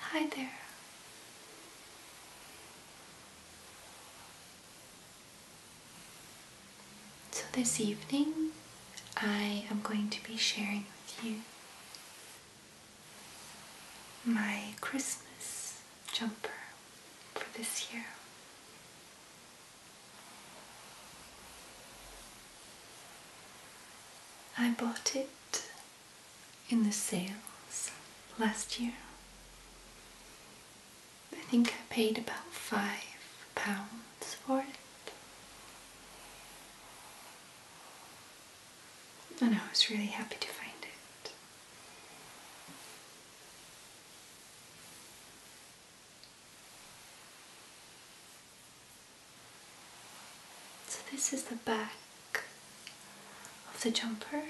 Hi there. So, this evening I am going to be sharing with you my Christmas jumper for this year. I bought it in the sales last year. I think I paid about five pounds for it. And I was really happy to find it. So this is the back of the jumper.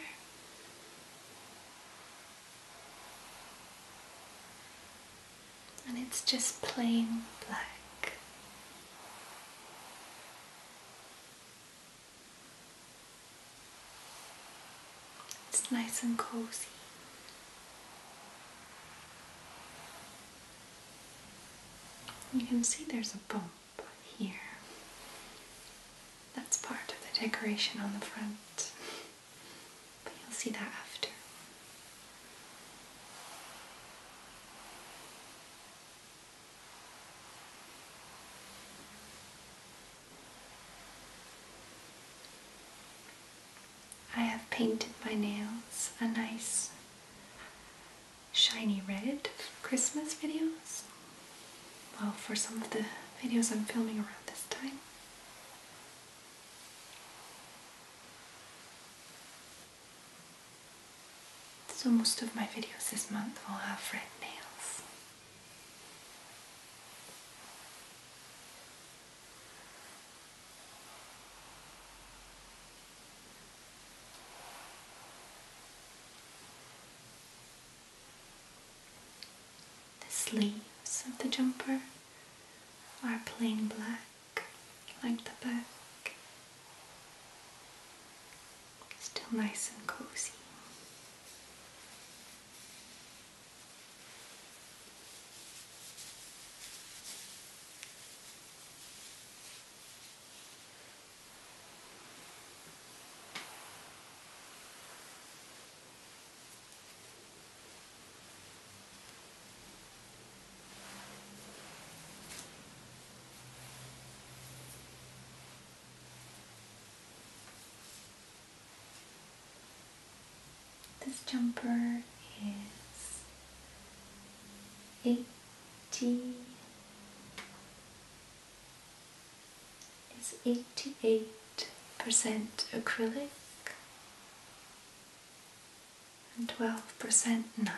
And it's just plain black. It's nice and cozy. You can see there's a bump here. That's part of the decoration on the front, but you'll see that after. I have painted my nails a nice shiny red Christmas videos. Well, for some of the videos I'm filming around this time. So most of my videos this month will have red nails. The sleeves of the jumper are plain black, like the back. Still nice and cozy. This jumper is eight T is 88% acrylic and 12% nylon,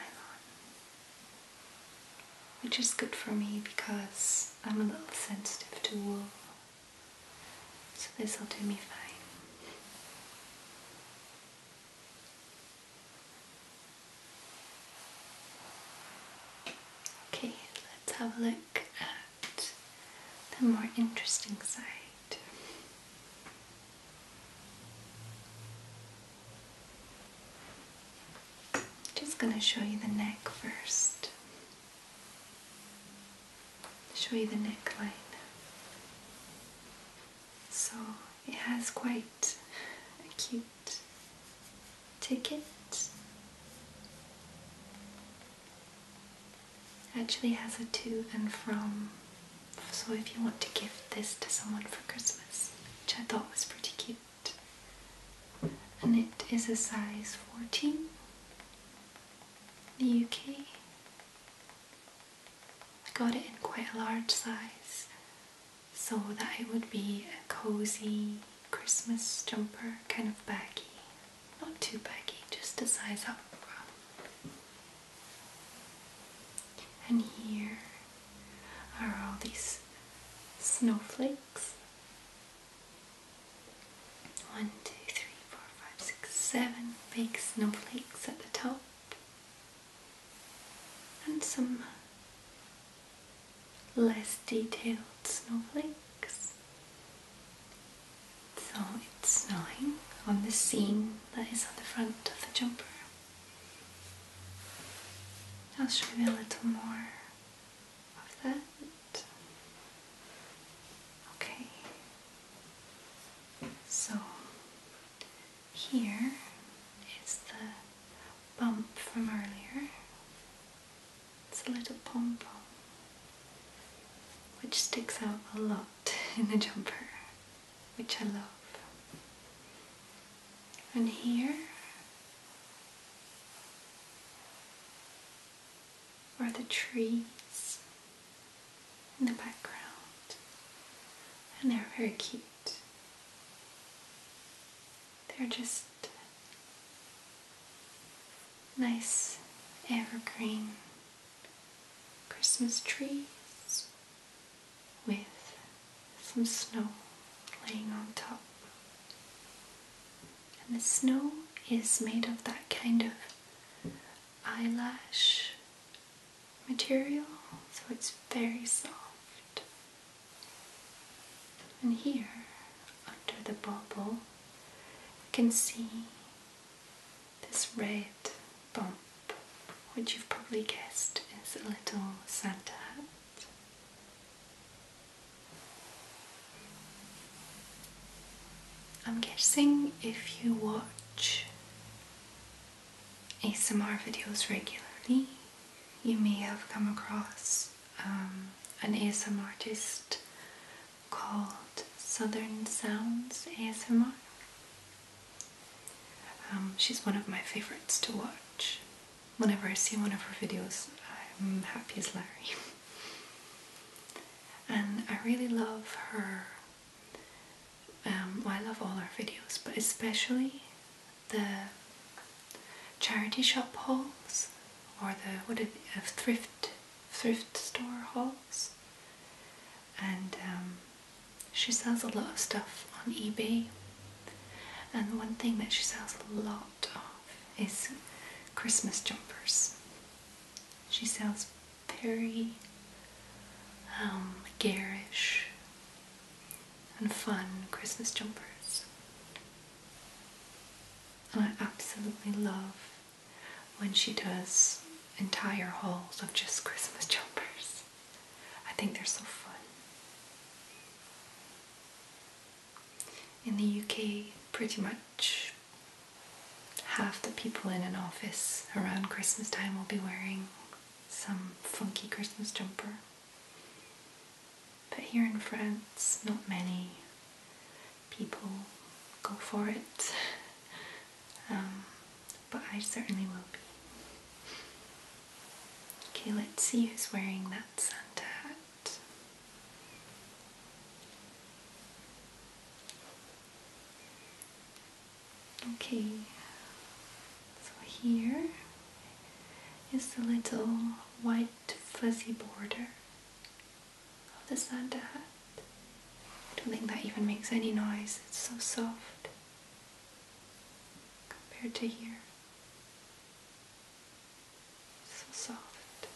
which is good for me because I'm a little sensitive to wool, so this will do me fine. Okay, let's have a look at the more interesting side. just going to show you the neck first. Show you the neckline. So it has quite a cute ticket. Actually has a to and from, so if you want to give this to someone for Christmas, which I thought was pretty cute. And it is a size 14, the UK. I got it in quite a large size so that it would be a cozy Christmas jumper, kind of baggy. Not too baggy, just a size up. And here are all these snowflakes. One, two, three, four, five, six, seven big snowflakes at the top and some less detailed snowflakes. So it's snowing on the seam that is on the front of the jumper. I'll show you a little more of that. Okay, so here is the bump from earlier. It's a little pom pom, which sticks out a lot in the jumper, which I love. And here are the trees in the background, and they're very cute. They're just nice evergreen Christmas trees with some snow laying on top. And the snow is made of that kind of eyelash material, so it's very soft. And here, under the bubble, you can see this red bump, which you've probably guessed is a little Santa hat. I'm guessing if you watch ASMR videos regularly, you may have come across um, an ASMR artist called Southern Sounds ASMR. Um, she's one of my favorites to watch. Whenever I see one of her videos, I'm happy as Larry. and I really love her um, I love all our videos, but especially the charity shop hauls or the what it, uh, thrift thrift store hauls. And um, she sells a lot of stuff on eBay. And one thing that she sells a lot of is Christmas jumpers. She sells very um, garish and fun Christmas jumpers. And I absolutely love when she does entire hauls of just Christmas jumpers. I think they're so fun. In the UK, pretty much half the people in an office around Christmas time will be wearing some funky Christmas jumper. But here in France, not many people go for it. Um, but I certainly will be. Okay, let's see who's wearing that Santa hat. Okay, so here is the little white fuzzy border of the Santa hat. I don't think that even makes any noise, it's so soft compared to here. So soft.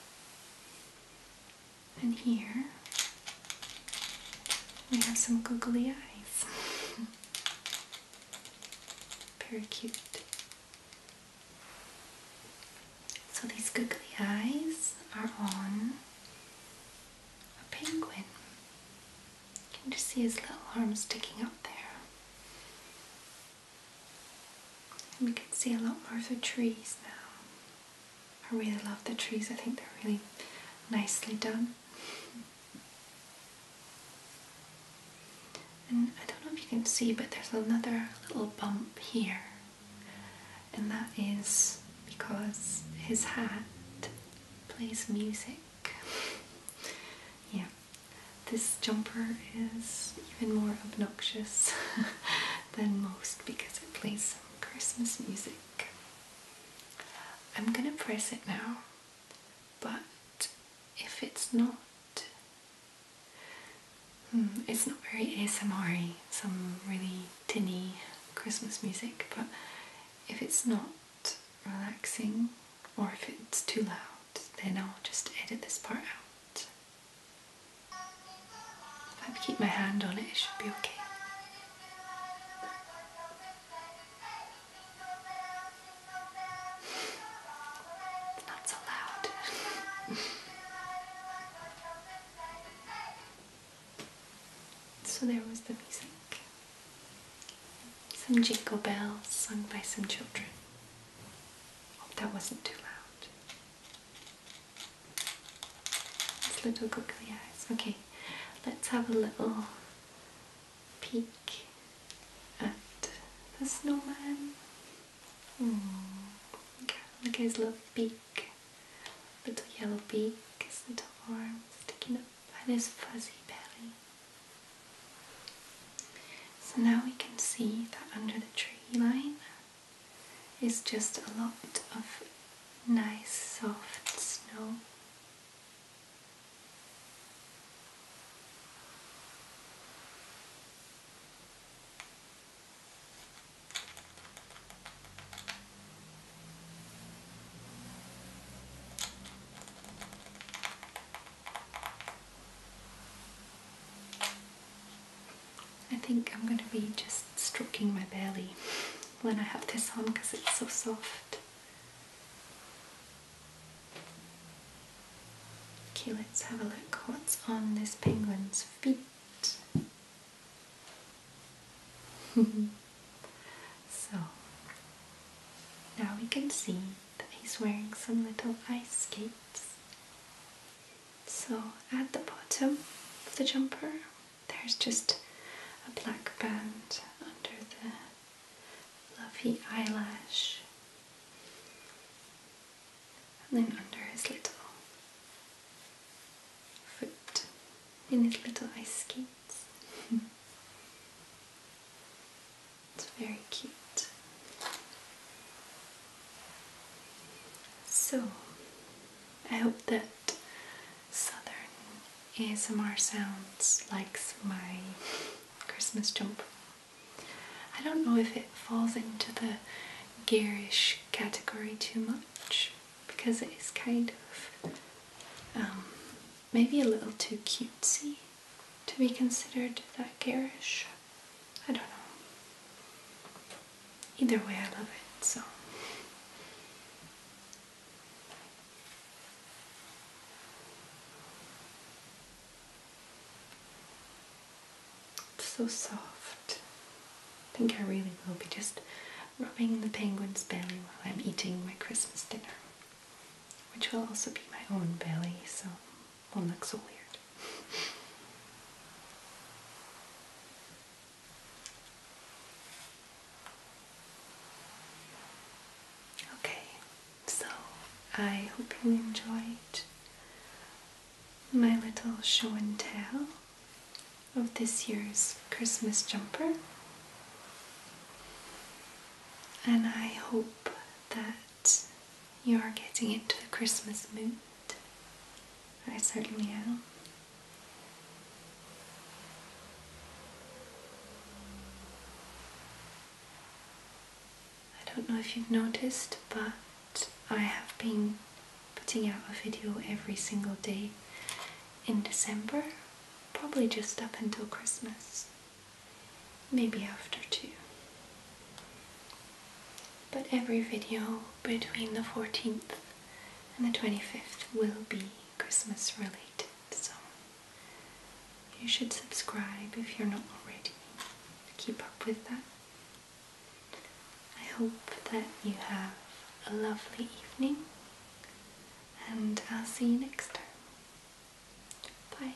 And here we have some googly eyes. Very cute. So these googly eyes are on a penguin. You can just see his little arm sticking out there. And we can see a lot more of the trees now. I really love the trees, I think they're really nicely done. And I don't know if you can see, but there's another little bump here, and that is because his hat plays music. yeah, this jumper is even more obnoxious than most because it plays some Christmas music. I'm going to press it now, but if it's not, hmm, it's not very ASMR -y, some really tinny Christmas music, but if it's not relaxing or if it's too loud, then I'll just edit this part out. If I keep my hand on it, it should be okay. not so loud. so there was the music. Some jingle bells sung by some children. Hope that wasn't too loud. Those little googly eyes. Okay, let's have a little peek at the snowman. Hmm, okay, look at his little beak. Little yellow beak, his little arms sticking up, and his fuzzy belly. So now we can see that under the tree line it's just a lot of nice soft snow. I think I'm going to be just stroking my belly when I have this on because it's so soft. Okay, let's have a look what's on this penguin's feet. so, now we can see that he's wearing some little ice skates. So, at the bottom of the jumper, there's just a black band under the fluffy eyelash, and then under his little foot in his little ice skates. it's very cute. So, I hope that southern ASMR sounds likes my Christmas jump. I don't know if it falls into the garish category too much because it is kind of um, maybe a little too cutesy to be considered that garish. I don't know either way, I love it so. so soft. I think I really will be just rubbing the penguin's belly while I'm eating my Christmas dinner, which will also be my own belly, so won't look so weird. Okay, so I hope you enjoyed my little show and tell of this year's Christmas jumper. And I hope that you are getting into the Christmas mood. I certainly am. I don't know if you've noticed, but I have been putting out a video every single day in December, probably just up until Christmas, maybe after too. But every video between the 14th and the 25th will be Christmas related. So you should subscribe if you're not already to keep up with that. I hope that you have a lovely evening and I'll see you next time. Bye.